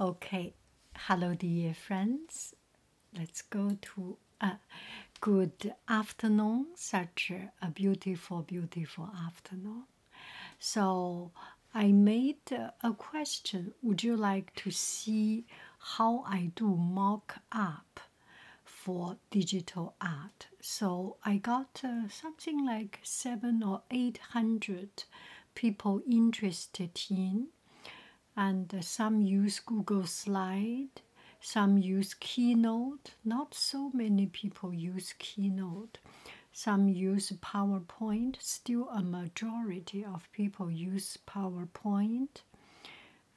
Okay, hello, dear friends. Let's go to a good afternoon. Such a beautiful, beautiful afternoon. So, I made a question. Would you like to see how I do mock up for digital art? So, I got uh, something like seven or eight hundred people interested in. And uh, some use Google Slide, some use Keynote. Not so many people use Keynote. Some use PowerPoint. Still, a majority of people use PowerPoint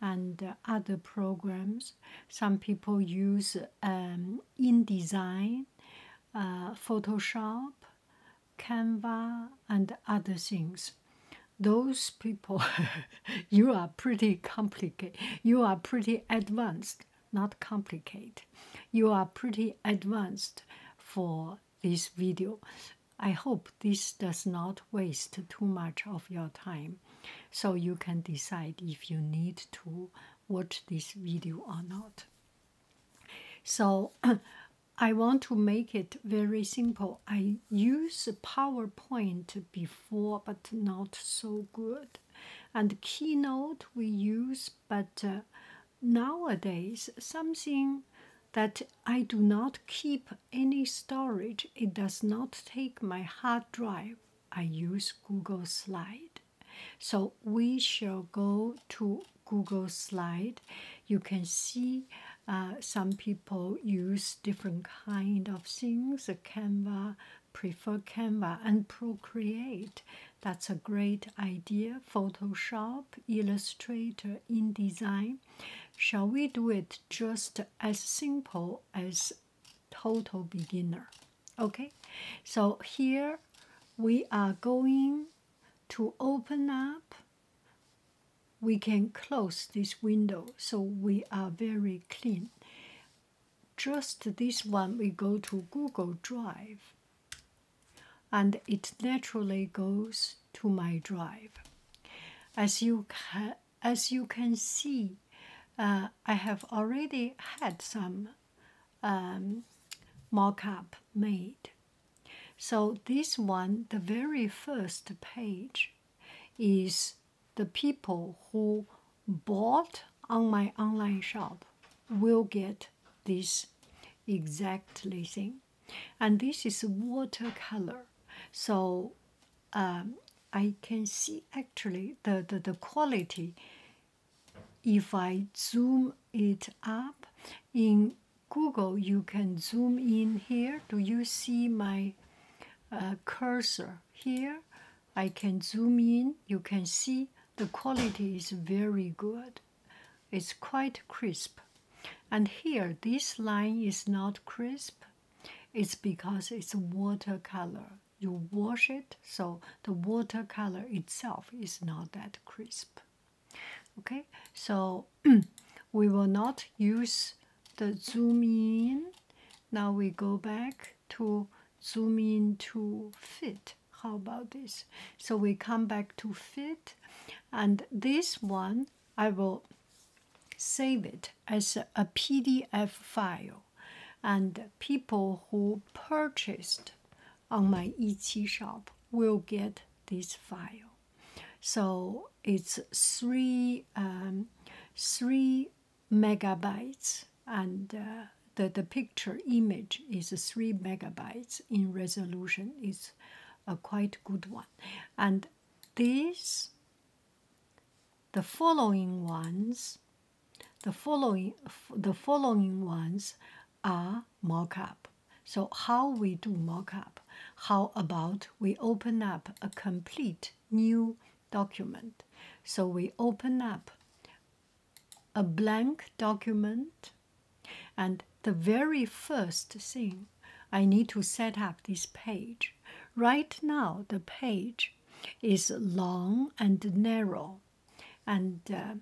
and uh, other programs. Some people use um, InDesign, uh, Photoshop, Canva, and other things. Those people, you are pretty complicated. You are pretty advanced, not complicated. You are pretty advanced for this video. I hope this does not waste too much of your time so you can decide if you need to watch this video or not. So I want to make it very simple. I use PowerPoint before, but not so good. And Keynote we use, but uh, nowadays something that I do not keep any storage. It does not take my hard drive. I use Google Slide. So we shall go to Google slide, you can see uh, some people use different kind of things. A Canva prefer Canva and Procreate. That's a great idea. Photoshop, Illustrator, InDesign. Shall we do it just as simple as total beginner? Okay, so here we are going to open up we can close this window so we are very clean. Just this one, we go to Google Drive and it naturally goes to my drive. As you, ca as you can see, uh, I have already had some um, mock up made so, this one, the very first page, is the people who bought on my online shop will get this exactly thing. And this is watercolor. So, um, I can see actually the, the quality. If I zoom it up in Google, you can zoom in here. Do you see my uh, cursor here? I can zoom in. You can see the quality is very good. It's quite crisp. And here, this line is not crisp. It's because it's watercolor. You wash it, so the watercolor itself is not that crisp. Okay, so we will not use the zoom in. Now we go back to zoom in to fit. How about this? So we come back to fit, and this one I will save it as a PDF file. And people who purchased on my Etsy shop will get this file so it's three um, three megabytes and uh, the the picture image is three megabytes in resolution it's a quite good one and these, the following ones the following the following ones are mock-up. So how we do mock-up? How about we open up a complete new document? So we open up a blank document and the very first thing I need to set up this page. Right now the page is long and narrow and uh,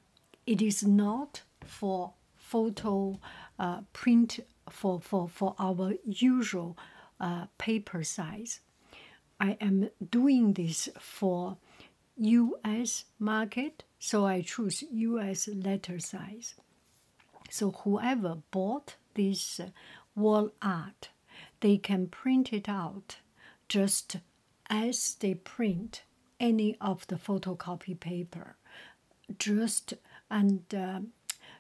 it is not for photo uh, print for, for, for our usual uh, paper size. I am doing this for US market, so I choose US letter size. So whoever bought this uh, wall art, they can print it out just as they print any of the photocopy paper just and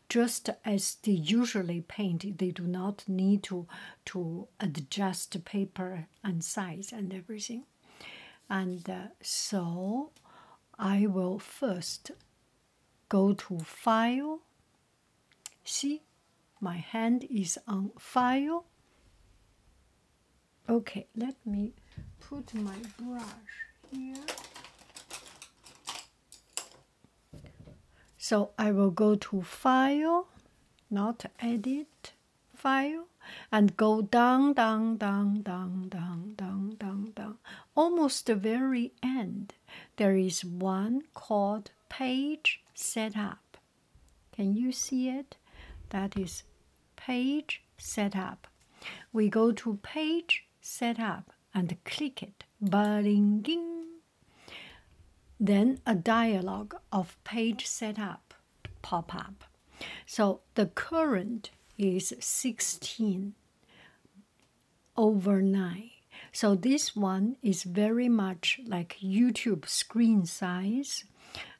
just um, as they usually paint they do not need to to adjust paper and size and everything and uh, so i will first go to file see my hand is on file okay let me put my brush here. So I will go to File, not Edit, File, and go down, down, down, down, down, down, down, down. Almost the very end, there is one called Page Setup. Can you see it? That is Page Setup. We go to Page set up and click it. ba Then a dialog of page setup pop up. So the current is 16 over 9. So this one is very much like YouTube screen size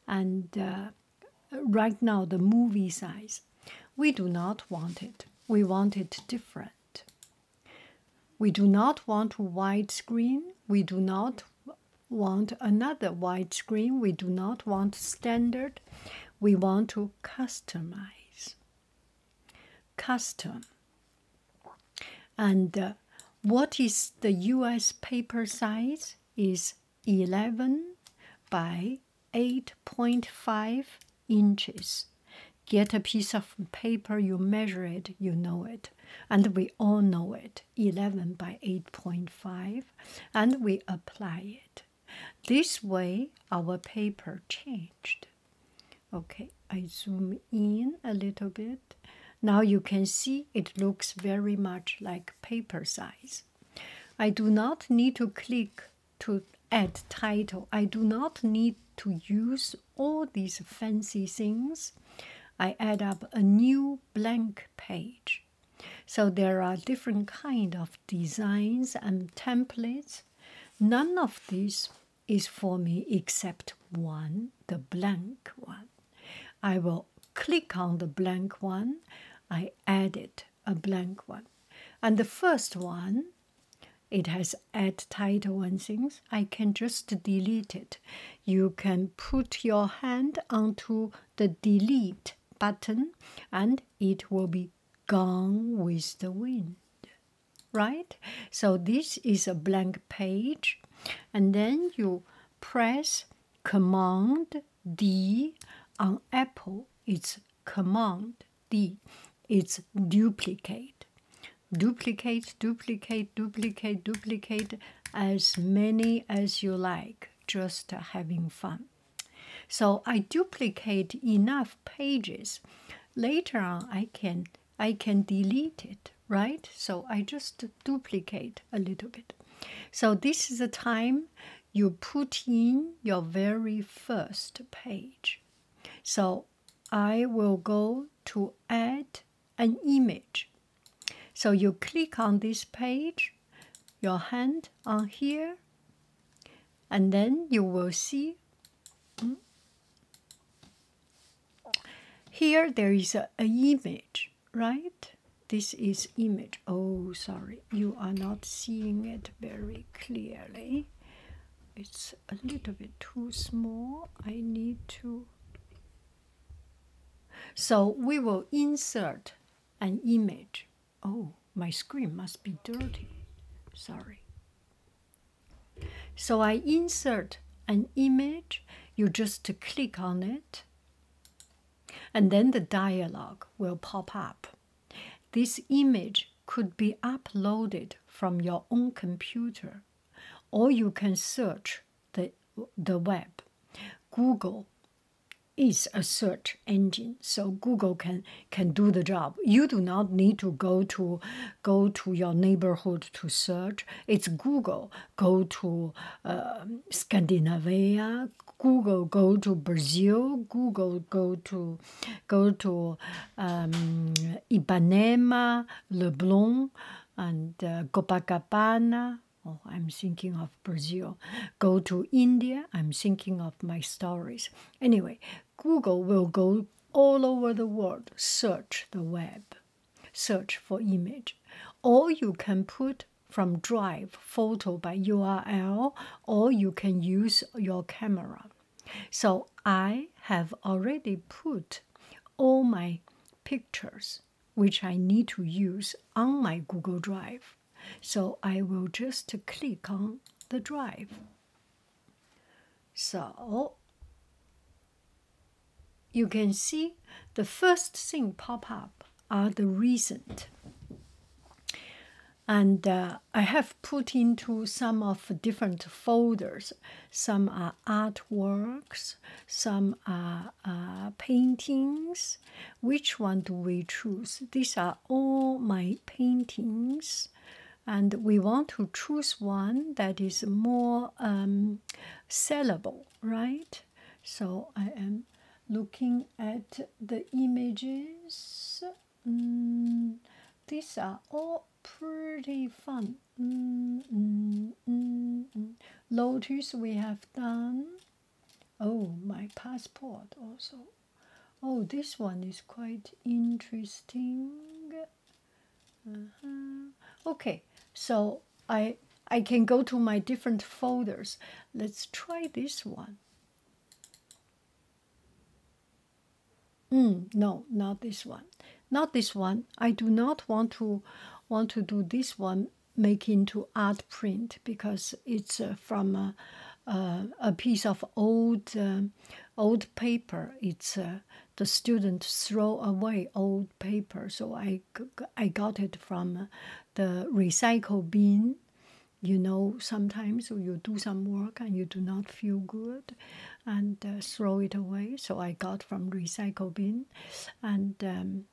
and uh, right now the movie size. We do not want it. We want it different. We do not want widescreen. We do not want another widescreen. We do not want standard. We want to customize. Custom. And uh, what is the US paper size? Is 11 by 8.5 inches. Get a piece of paper, you measure it, you know it. And we all know it 11 by 8.5, and we apply it. This way, our paper changed. Okay, I zoom in a little bit. Now you can see it looks very much like paper size. I do not need to click to add title. I do not need to use all these fancy things. I add up a new blank page. So there are different kind of designs and templates. None of these is for me except one, the blank one. I will click on the blank one. I add it a blank one. And the first one, it has add title and things. I can just delete it. You can put your hand onto the delete button and it will be gone with the wind. Right? So this is a blank page. And then you press Command D on Apple. It's Command D. It's duplicate. Duplicate, duplicate, duplicate, duplicate as many as you like, just having fun. So I duplicate enough pages. Later on, I can I can delete it, right? So I just duplicate a little bit. So this is the time you put in your very first page. So I will go to add an image. So you click on this page, your hand on here, and then you will see hmm, here there is a, a image, right? This is image. Oh, sorry you are not seeing it very clearly it's a little bit too small i need to so we will insert an image oh my screen must be dirty sorry so i insert an image you just click on it and then the dialog will pop up this image could be uploaded from your own computer, or you can search the, the web. Google is a search engine, so Google can, can do the job. You do not need to go to go to your neighborhood to search. It's Google. Go to um, Scandinavia. Google. Go to Brazil. Google. Go to go to um, Ipanema, Leblon, and uh, Copacabana. Oh, I'm thinking of Brazil. Go to India. I'm thinking of my stories. Anyway, Google will go all over the world, search the web, search for image. Or you can put from drive photo by URL, or you can use your camera. So I have already put all my pictures which I need to use on my Google Drive. So I will just click on the drive. So you can see the first thing pop up are the recent. And uh, I have put into some of different folders. Some are artworks, some are uh, paintings. Which one do we choose? These are all my paintings, and we want to choose one that is more um, sellable, right? So I am looking at the images Mm, these are all pretty fun. Mm, mm, mm, mm. Lotus we have done. Oh, my passport also. Oh, this one is quite interesting. Uh-huh. Okay, so I I can go to my different folders. Let's try this one. Mm, no, not this one. Not this one. I do not want to want to do this one make into art print because it's uh, from a, piece of old um, old paper. It's uh, the student throw away old paper, so I I got it from the recycle bin you know sometimes you do some work and you do not feel good and uh, throw it away so i got from recycle bin and um,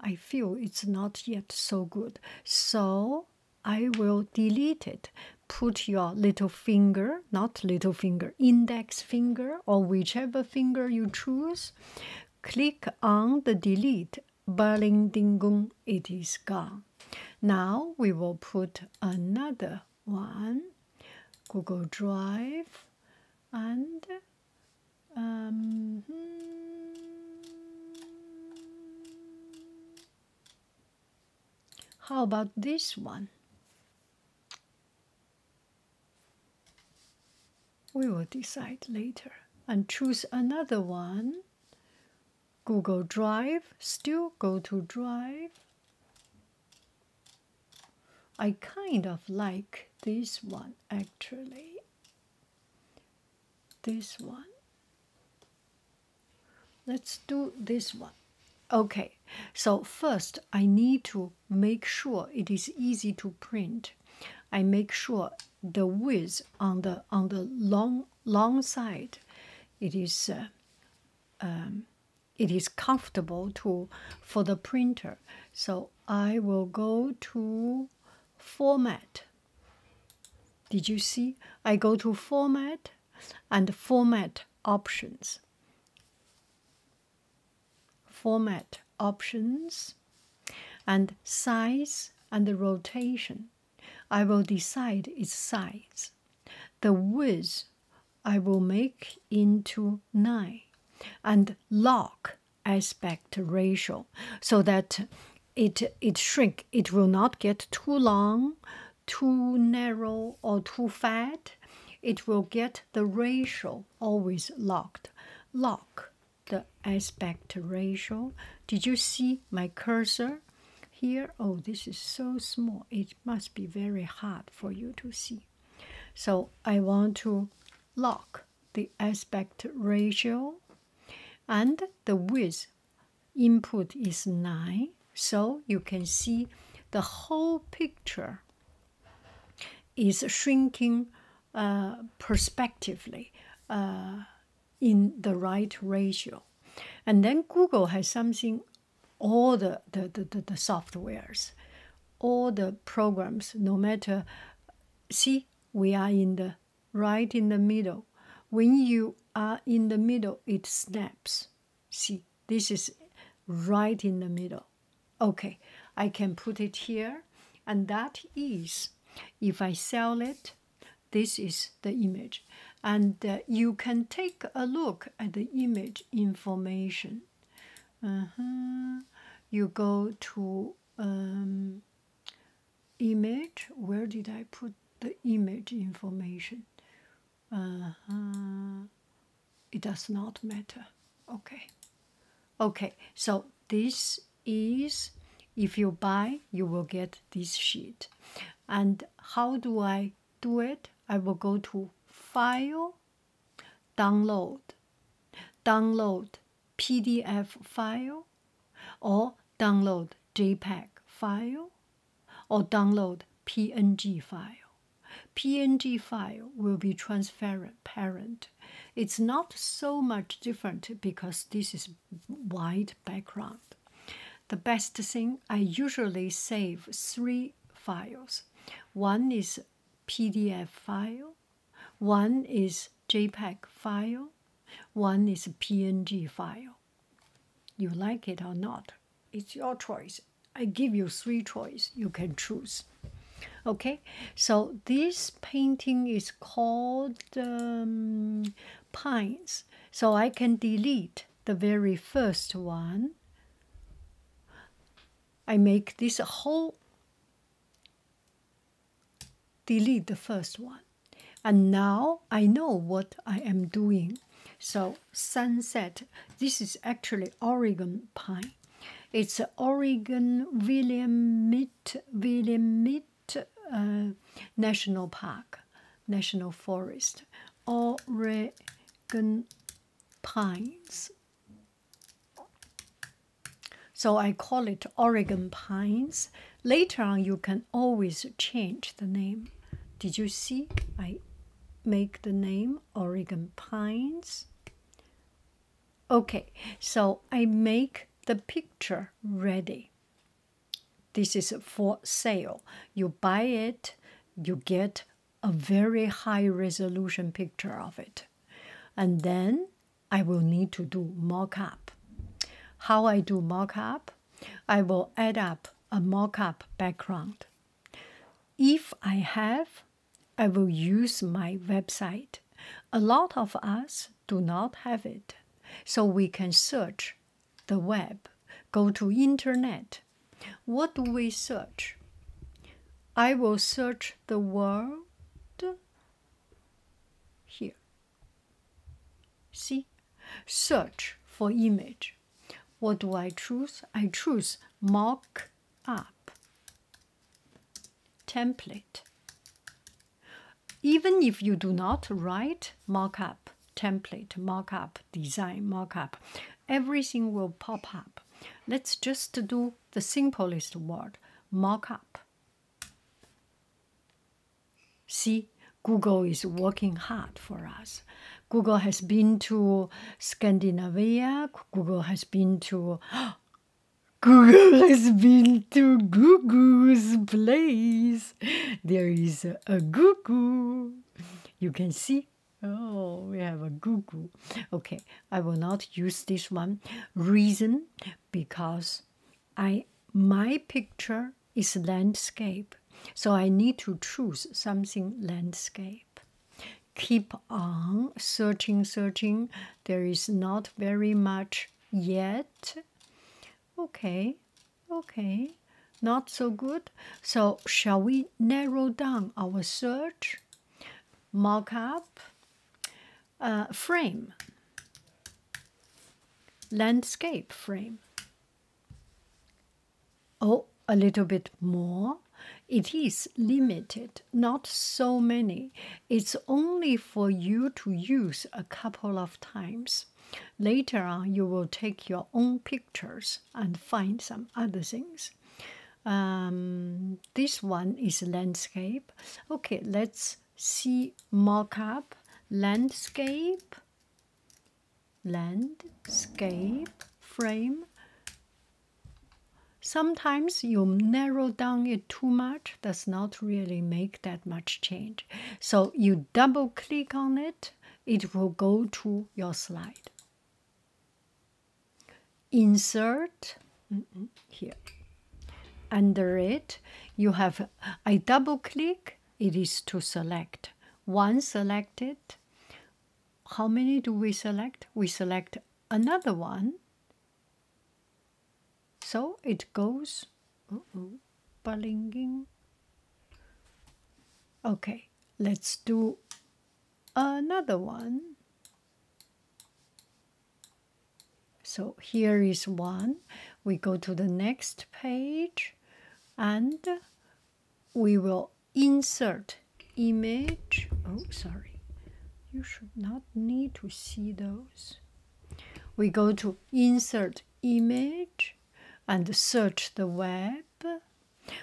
i feel it's not yet so good so i will delete it put your little finger not little finger index finger or whichever finger you choose click on the delete berling ding it is gone now we will put another one Google Drive and um, hmm. how about this one? We will decide later and choose another one Google Drive, still go to Drive. I kind of like this one actually. This one. Let's do this one. Okay, so first I need to make sure it is easy to print. I make sure the width on the on the long long side it is uh, um, it is comfortable to for the printer. So I will go to format. Did you see? I go to format and format options. Format options and size and the rotation. I will decide its size. The width I will make into 9 and lock aspect ratio so that it, it shrink. It will not get too long, too narrow, or too fat. It will get the ratio always locked. Lock the aspect ratio. Did you see my cursor? Here, oh, this is so small, it must be very hard for you to see. So I want to lock the aspect ratio and the width input is 9 so you can see the whole picture is shrinking uh, prospectively uh, in the right ratio and then google has something all the, the, the, the, softwares, all the programs, no matter. See, we are in the right in the middle. When you are in the middle, it snaps. See, this is right in the middle. Okay, I can put it here, and that is if I sell it, this is the image. And uh, you can take a look at the image information. Uh-huh. You go to um, image. Where did I put the image information? Uh-huh. It does not matter. Okay. Okay, so this is if you buy, you will get this sheet. And how do I I do it, I will go to File, Download, Download PDF file, or download JPEG file, or download PNG file. PNG file will be transparent. It's not so much different because this is white background. The best thing I usually save three files. One is PDF file, one is JPEG file, one is PNG file. You like it or not? It's your choice. I give you three choice. You can choose. Okay, so this painting is called um, Pines. So I can delete the very first one. I make this whole, delete the first one. And now I know what I am doing. So sunset, this is actually Oregon pine. It's Oregon William Mitt, William Mitt uh, National Park, National Forest. Oregon pines. So I call it Oregon pines. Later on, you can always change the name. Did you see? I make the name Oregon pines. Okay, so I make the picture ready. This is for sale. You buy it, you get a very high resolution picture of it. And then I will need to do mockup. How I do mockup? I will add up a mockup background. If I have, I will use my website. A lot of us do not have it, so we can search the web, go to internet. What do we search? I will search the world here. See? Search for image. What do I choose? I choose mock up template. Even if you do not write mock up, template, markup design, markup. Everything will pop up. Let's just do the simplest word markup. See, Google is working hard for us. Google has been to Scandinavia, Google has been to Google has been to Google's place. There is a Google. You can see Oh, we have a Google. Okay, I will not use this one. Reason because I my picture is landscape, so I need to choose something landscape. Keep on searching, searching. There is not very much yet. Okay, Okay, not so good. So, shall we narrow down our search? Mockup, uh, frame, landscape frame. Oh, a little bit more. It is limited, not so many. It's only for you to use a couple of times. Later on, you will take your own picture and find some other things. Um, this one is landscape. Okay, let's see mock-up landscape, landscape frame. Sometimes you narrow down it too much, does not really make that much change. So you double click on it, it will go to your slide insert here under it you have i double click it is to select one selected how many do we select we select another one so it goes uh -oh, Okay, let's do another one. So here is one. We go to the next page and we will insert image. Oh, sorry. You should not need to see those. We go to insert image and search the web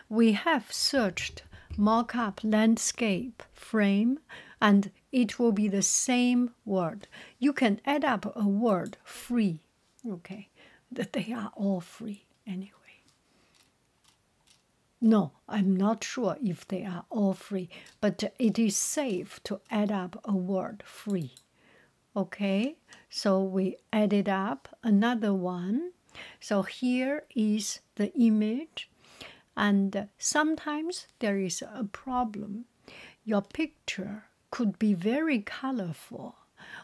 we have searched markup landscape frame and it will be the same word. You can add up a word free, okay? That they are all free anyway. No, I'm not sure if they are all free, but it is safe to add up a word free. Okay, so we added up another one. So here is the image, and sometimes there is a problem. Your picture could be very colorful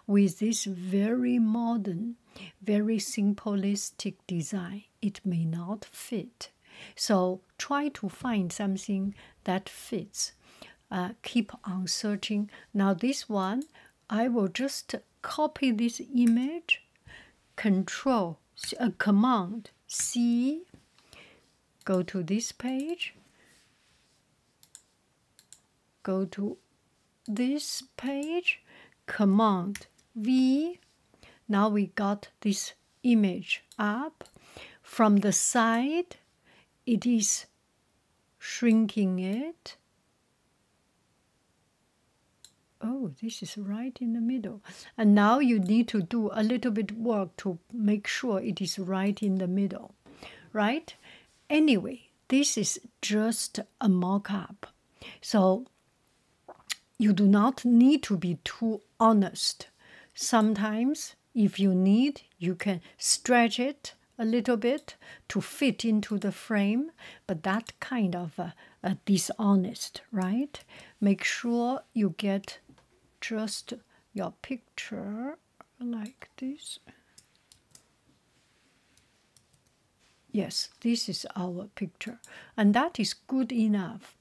with this very modern, very simplistic design. It may not fit. So try to find something that fits. Uh, keep on searching. Now, this one I will just copy this image, control, uh, command C, go to this page, go to this page, command V. Now we got this image up. From the side, it is shrinking it Oh, this is right in the middle. And now you need to do a little bit work to make sure it is right in the middle, right? Anyway, this is just a mock up. So you do not need to be too honest. Sometimes, if you need, you can stretch it a little bit to fit into the frame, but that kind of uh, dishonest, right? Make sure you get just your picture like this. Yes, this is our picture, and that is good enough.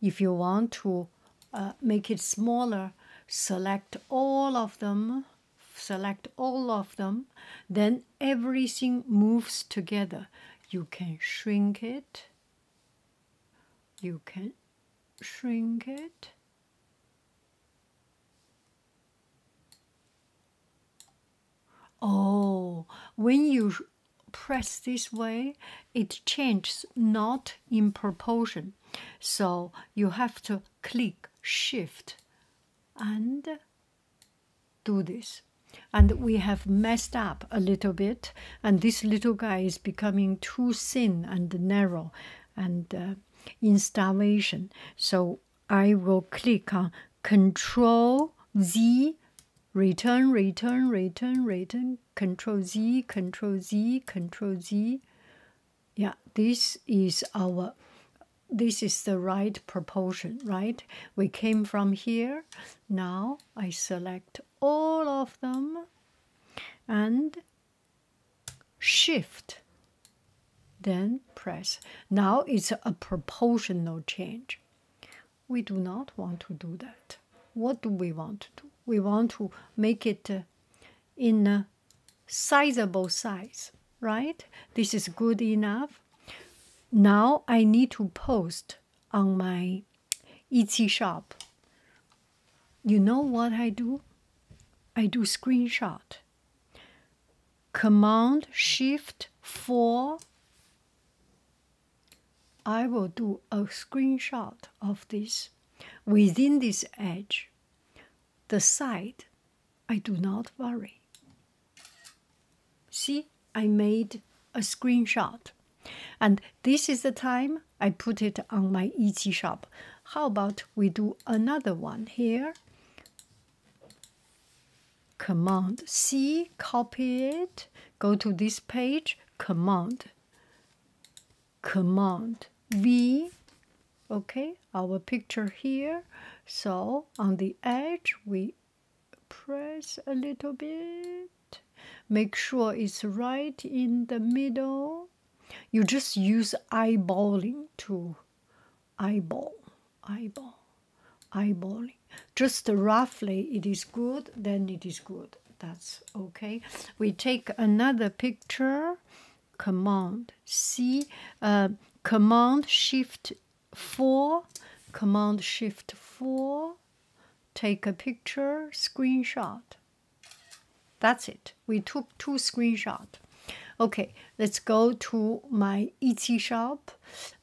If you want to uh, make it smaller, select all of them select all of them, then everything moves together. You can shrink it, you can shrink it. Oh, when you press this way, it changes not in proportion. So you have to click shift and do this and we have messed up a little bit and this little guy is becoming too thin and narrow and uh, in starvation so i will click on control z return return return return control z control z control z yeah this is our this is the right proportion, right? We came from here. Now I select all of them and shift. Then press. Now it's a proportional change. We do not want to do that. What do we want to do? We want to make it uh, in a sizable size, right? This is good enough now I need to post on my Etsy shop. You know what I do? I do screenshot. Command Shift 4. I will do a screenshot of this within this edge. The side I do not worry. See, I made a screenshot. And this is the time I put it on my Etsy shop. How about we do another one here? Command C, copy it, go to this page, Command, Command V, okay? our picture here so on the edge we press a little bit make sure it's right in the middle you just use eyeballing to eyeball eyeball eyeballing just roughly it is good then it is good that's okay we take another picture command c uh, command shift 4, Command Shift 4, take a picture, screenshot. That's it. We took two screenshots. Okay, let's go to my Etsy shop.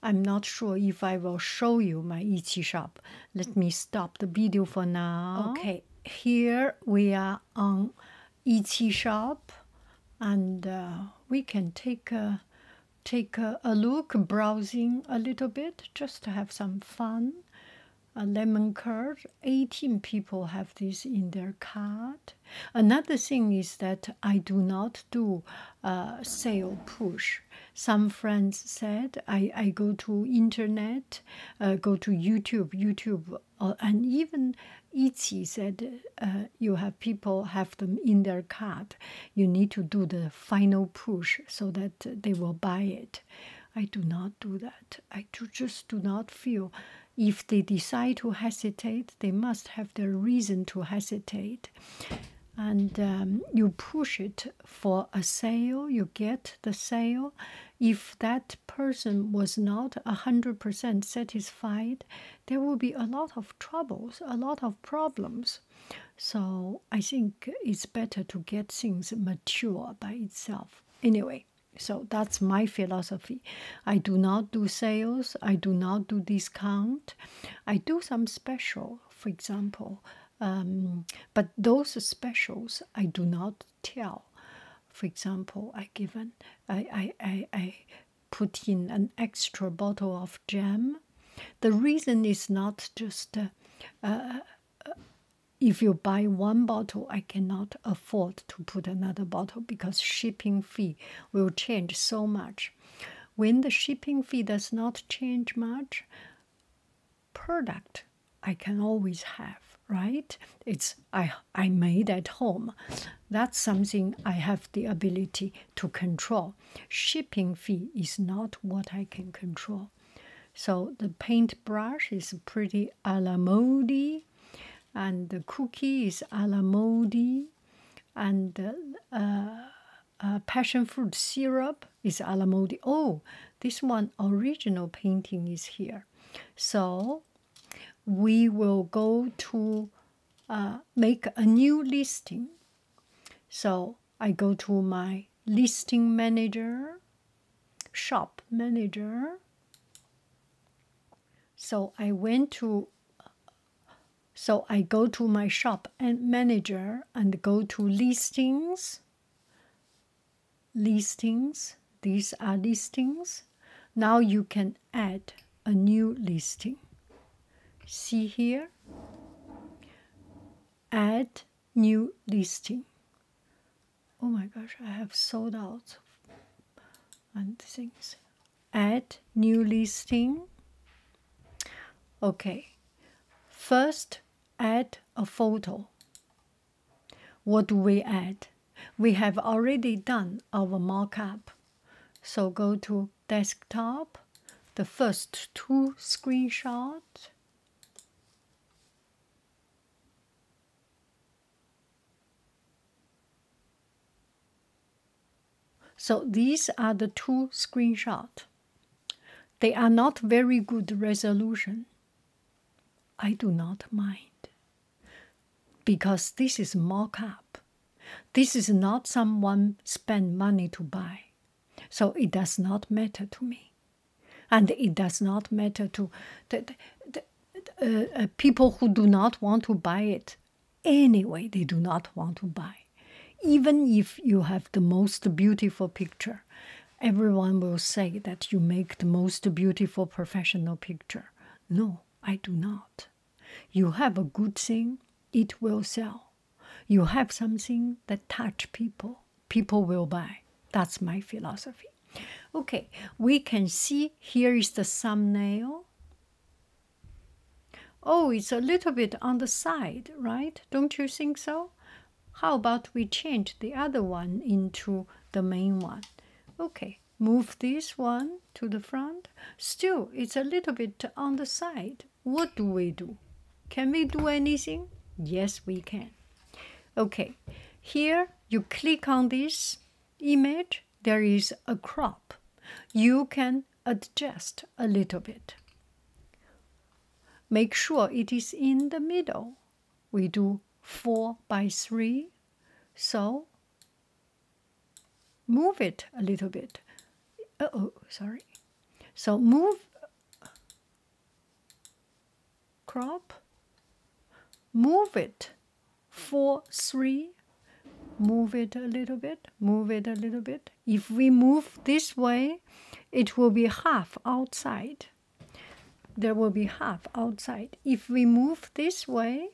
I'm not sure if I will show you my Etsy shop. Let me stop the video for now. Okay, here we are on Etsy shop and uh, we can take a take a, look, browsing a little bit just to have some fun. A lemon curd, 18 people have this in their cart. Another thing is that I do not do sale push. Some friends said I, I go to internet, uh, go to YouTube, YouTube, uh, and even Etsy said uh, you have. Uh, people have them in their cart. You need to do the final push so that they will buy it. I do not do that. I just do not feel. If they decide to hesitate, they must have their reason to hesitate. And um, you push it for a sale, you get the sale. If that person was not 100% satisfied, there will be a lot of troubles, a lot of problems. So I think it's better to get things mature by itself. Anyway, so that's my philosophy. I do not do sales, I do not do discount. I do some special, for example, um, but those specials I do not tell. For example, I given I I I, I put in an extra bottle of jam. The reason is not just uh, uh, uh, if you buy one bottle, I cannot afford to put another bottle because shipping fee will change so much. When the shipping fee does not change much, product I can always have, right? It's I I made at home. That's something I have the ability to control. Shipping fee is not what I can control. So the paintbrush is pretty a la mode, and the cookie is a la mode, and uh, uh, passion fruit syrup is a la mode. Oh, this one original painting is here. So we will go to uh, make a new listing. So I go to my listing manager, shop manager. So I went to so I go to my shop and manager and go to listings. Listings, these are listings. Now you can add a new listing. See here, add new listing. Oh my gosh, I have sold out and things. Add new listing. Okay, first add a photo. What do we add? We have already done our markup. So go to desktop, the first two screenshots. So these are the two screenshots. They are not very good resolution. I do not mind because this is mock-up. This is not someone spend money to buy. So it does not matter to me. And it does not matter to the, uh, uh, people who do not want to buy it. Anyway, they do not want to buy. Even if you have the most beautiful picture, everyone will say that you make the most beautiful professional picture. No, I do not. You have a good thing, it will sell. You have something that touch people, people will buy. That's my philosophy. Okay, we can see here is the thumbnail. Oh, it's a little bit on the side, right? Don't you think so? How about we change the other one into the main one? Okay, move this one to the front. Still, it's a little bit on the side what do we do? Can we do anything? Yes, we can. Okay, here you click on this image, there is a crop. You can adjust a little bit. Make sure it is in the middle. We do 4 by 3, so move it a little bit. oh, sorry. So move, crop, move it four, three, move it a little bit, move it a little bit. If we move this way, it will be half outside. There will be half outside. If we move this way,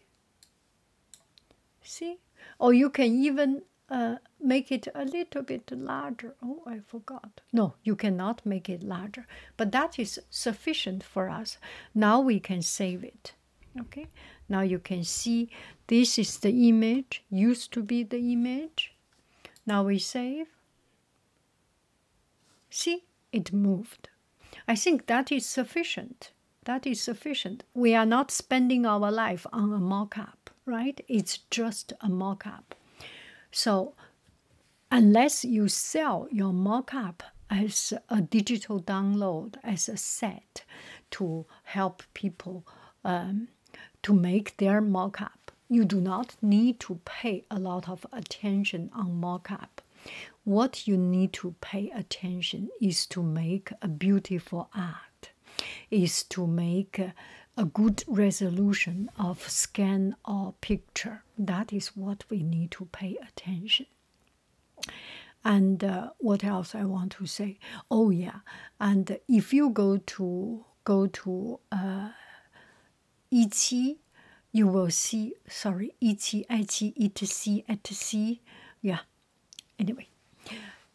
see? Or you can even uh, make it a little bit larger. Oh, I forgot. No, you cannot make it larger, but that is sufficient for us. Now we can save it. Okay, now you can see this is the image, used to be the image. Now we save. See, it moved. I think that is sufficient. That is sufficient we are not spending our life on a mock up, right? It's just a mock up. So, unless you sell your mock up as a digital download, as a set to help people um, to make their mock up, you do not need to pay a lot of attention on mock up. What you need to pay attention is to make a beautiful art is to make a good resolution of scan or picture. That is what we need to pay attention. And uh, what else I want to say? Oh yeah, and if you go to go to uh, Ichi, you will see. Sorry, Ichi, Ichi, Ichi, Ichi. Yeah, Anyway,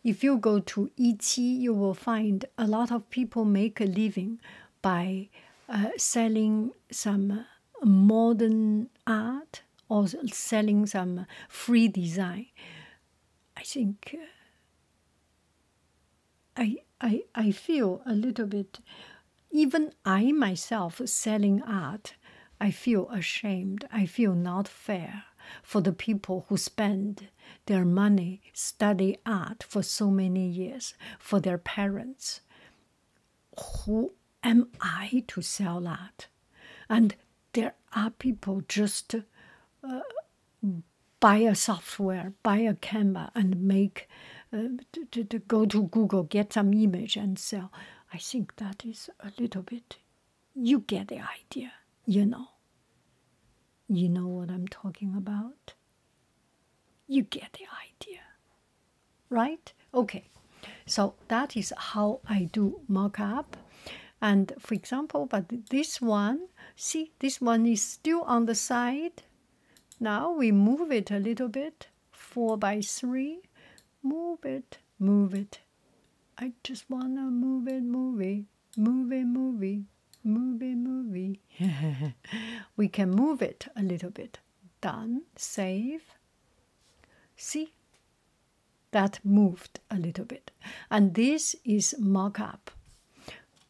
if you go to Etsy, you will find a lot of people make a living by uh, selling some modern art or selling some free design. I think uh, I I I feel a little bit. Even I myself selling art, I feel ashamed. I feel not fair for the people who spend their money, study art for so many years for their parents. Who am I to sell that? And there are people just uh, buy a software, buy a camera, and make uh, to go to Google, get some image, and sell. I think that is a little bit you get the idea, you know. You know what I'm talking about? You get the idea, right? Okay, so that is how I do mock up. And for example, but this one, see, this one is still on the side. Now we move it a little bit, four by three, move it, move it. I just wanna move it, move it move movie, movie, movie. we can move it a little bit. Done. Save. See? That moved a little bit. And this is up.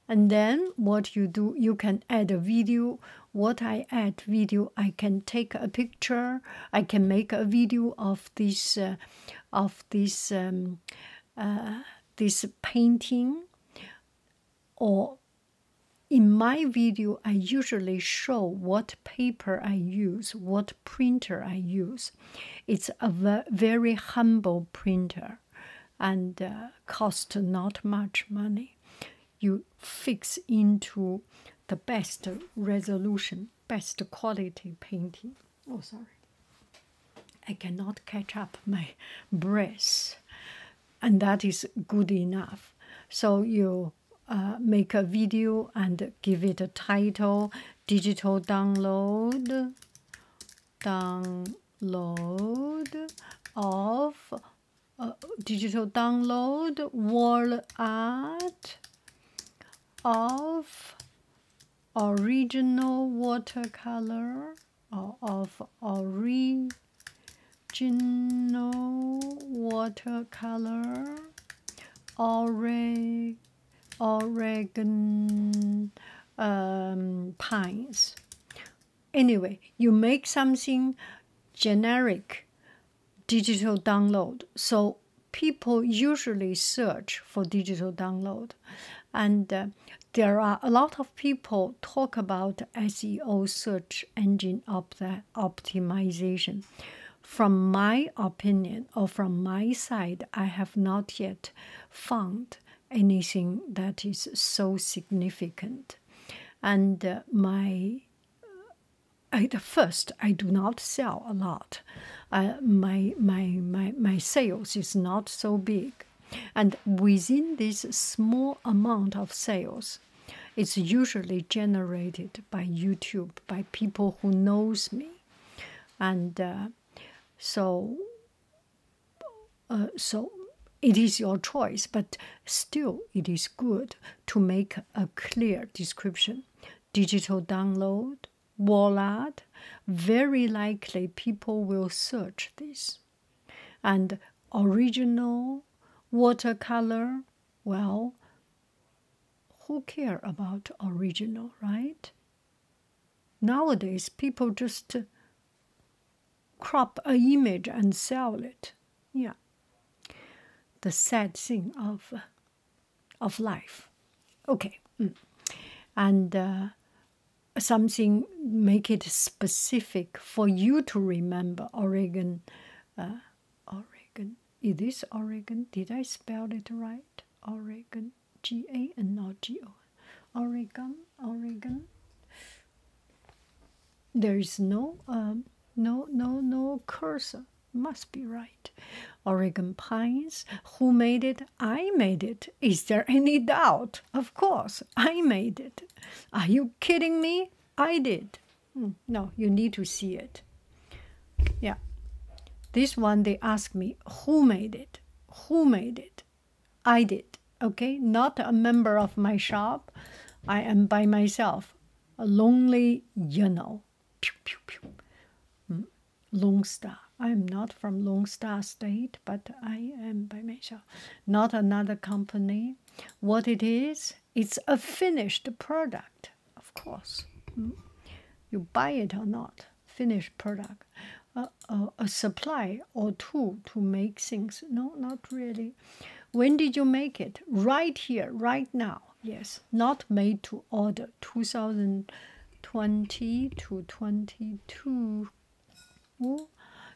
And then what you do, you can add a video. What I add video, I can take a picture. I can make a video of this, uh, of this um, uh, this painting or in my video i usually show what paper i use what printer i use it's a very humble printer and uh, cost not much money you fix into the best resolution best quality painting oh sorry i cannot catch up my breath and that is good enough so you uh, make a video and give it a title digital download download of uh, digital download wall art of original watercolor or of original watercolor Ore, Oregon um, pines. Anyway, you make something generic digital download. So people usually search for digital download and uh, there are a lot of people talk about SEO search engine opt optimization. From my opinion or from my side, I have not yet found anything that is so significant. And uh, my at uh, first, I do not sell a lot uh, my, my, my, my sales is not so big. And within this small amount of sales, it's usually generated by YouTube, by people who knows me. And uh, so, uh, so it is your choice, but still it is good to make a clear description. Digital download, Wall art, very likely people will search this. And original watercolor, well, who care about original, right? Nowadays, people just crop an image and sell it. Yeah. The sad thing of, of life. Okay. Mm. And uh, something make it specific for you to remember Oregon uh, Oregon is this Oregon did I spell it right Oregon G A and not G O Oregon Oregon there is no um, no no no cursor must be right Oregon Pines who made it I made it. Is there any doubt? Of course, I made it. Are you kidding me? I did. Hmm, no, you need to see it. Yeah. This one, they ask me, who made it? Who made it? I did. Okay, not a member of my shop. I am by myself. A lonely, you know. Hmm. Longstar. I'm not from Longstar State, but I am by measure. Not another company. What it is, it's a finished product, of course. Hmm? You buy it or not, finished product. Uh, a supply or tool to make things. No, not really. When did you make it? Right here, right now. Yes, not made to order. 2020 to 22 Mm.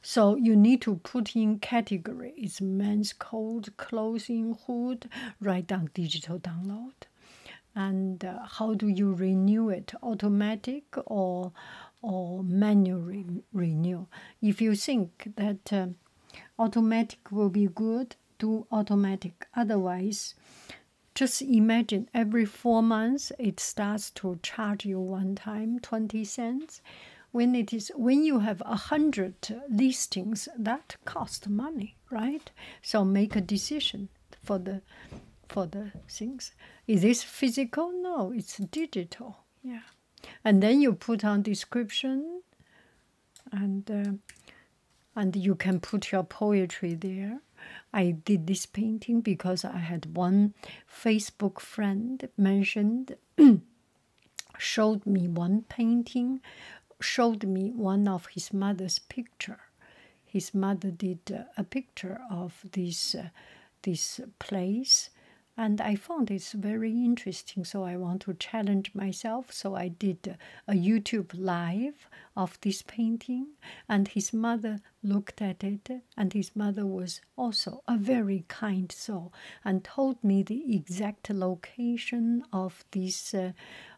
So you need to put in category. It's men's coat, clothing, hood. Write down digital download, and uh, how do you renew it? Automatic or or manual renew? If you think that um, automatic will be good, do automatic. Otherwise, just imagine every four months it starts to charge you one time 20 cents when it is when you have a hundred listings that cost money right so make a decision for the for the things is this physical no it's digital yeah and then you put on description and uh, and you can put your poetry there I did this painting because I had one Facebook friend mentioned, showed me one painting, showed me one of his mother's picture. His mother did uh, a picture of this uh, this place, and I found it's very interesting. So I want to challenge myself. So I did uh, a YouTube live of this painting, and his mother looked at it and his mother was also a very kind soul and told me the exact location of this uh,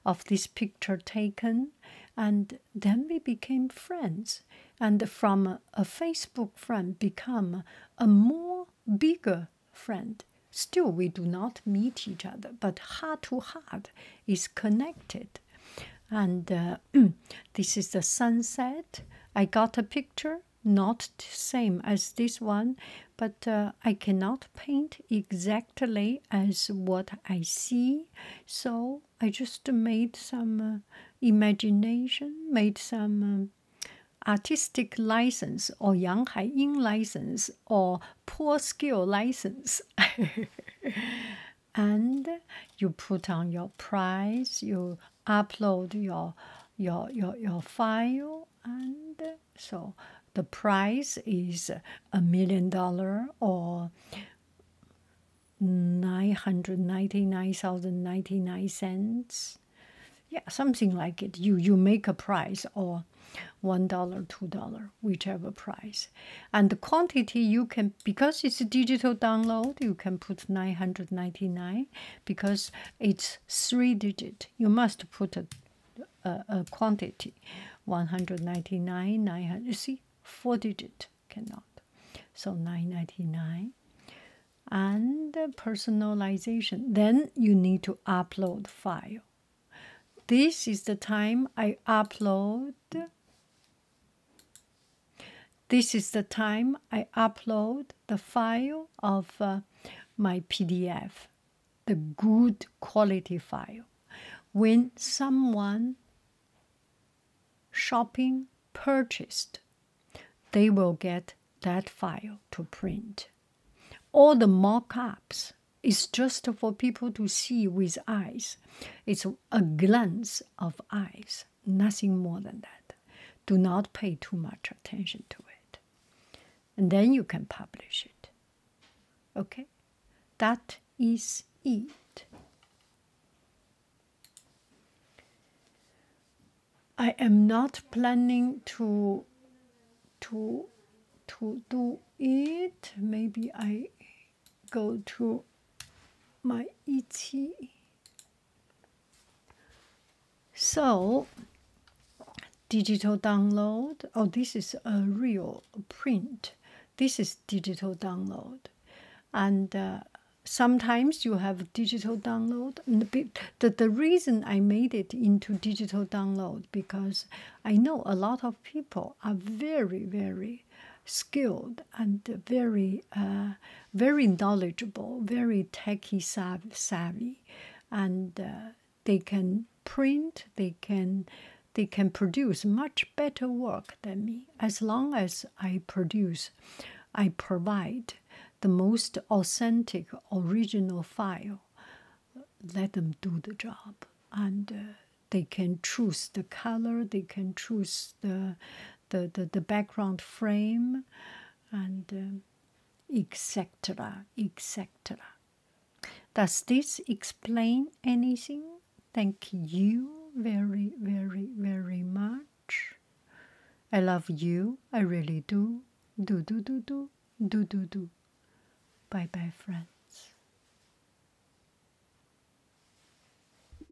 of this picture taken and then we became friends and from a facebook friend become a more bigger friend still we do not meet each other but heart to heart is connected and uh, this is the sunset i got a picture not the same as this one but uh, i cannot paint exactly as what i see so i just made some uh, imagination made some um, artistic license or yang hai license or poor skill license and you put on your price you upload your your your, your file and so the price is a million dollar or 999,099 cents yeah something like it you you make a price or one dollar two dollar whichever price and the quantity you can because it's a digital download you can put 999 because it's three digit you must put a, a quantity 199 900 you see four digit cannot so 999 and personalization then you need to upload file this is the time i upload this is the time I upload the file of uh, my PDF, the good quality file. When someone shopping purchased, they will get that file to print. All the mock ups is just for people to see with eyes, it's a glance of eyes nothing more than that. Do not pay too much attention to it. And then you can publish it. Okay? That is it. I am not planning to to to do it. Maybe I go to my ET. So, digital download. Oh, this is a real print. This is digital download. And uh, sometimes you have digital download. the, the reason I made it into digital download because I know a lot of people are very, very skilled and very uh, very knowledgeable, very techy savvy, and uh, they can print, they can they can produce much better work than me as long as I produce, I provide the most authentic original file. Let them do the job and. Uh, they can choose the color they can choose the the, the, the background frame and etc um, etc does this explain anything thank you very very very much i love you i really do do do do do do do do bye bye friends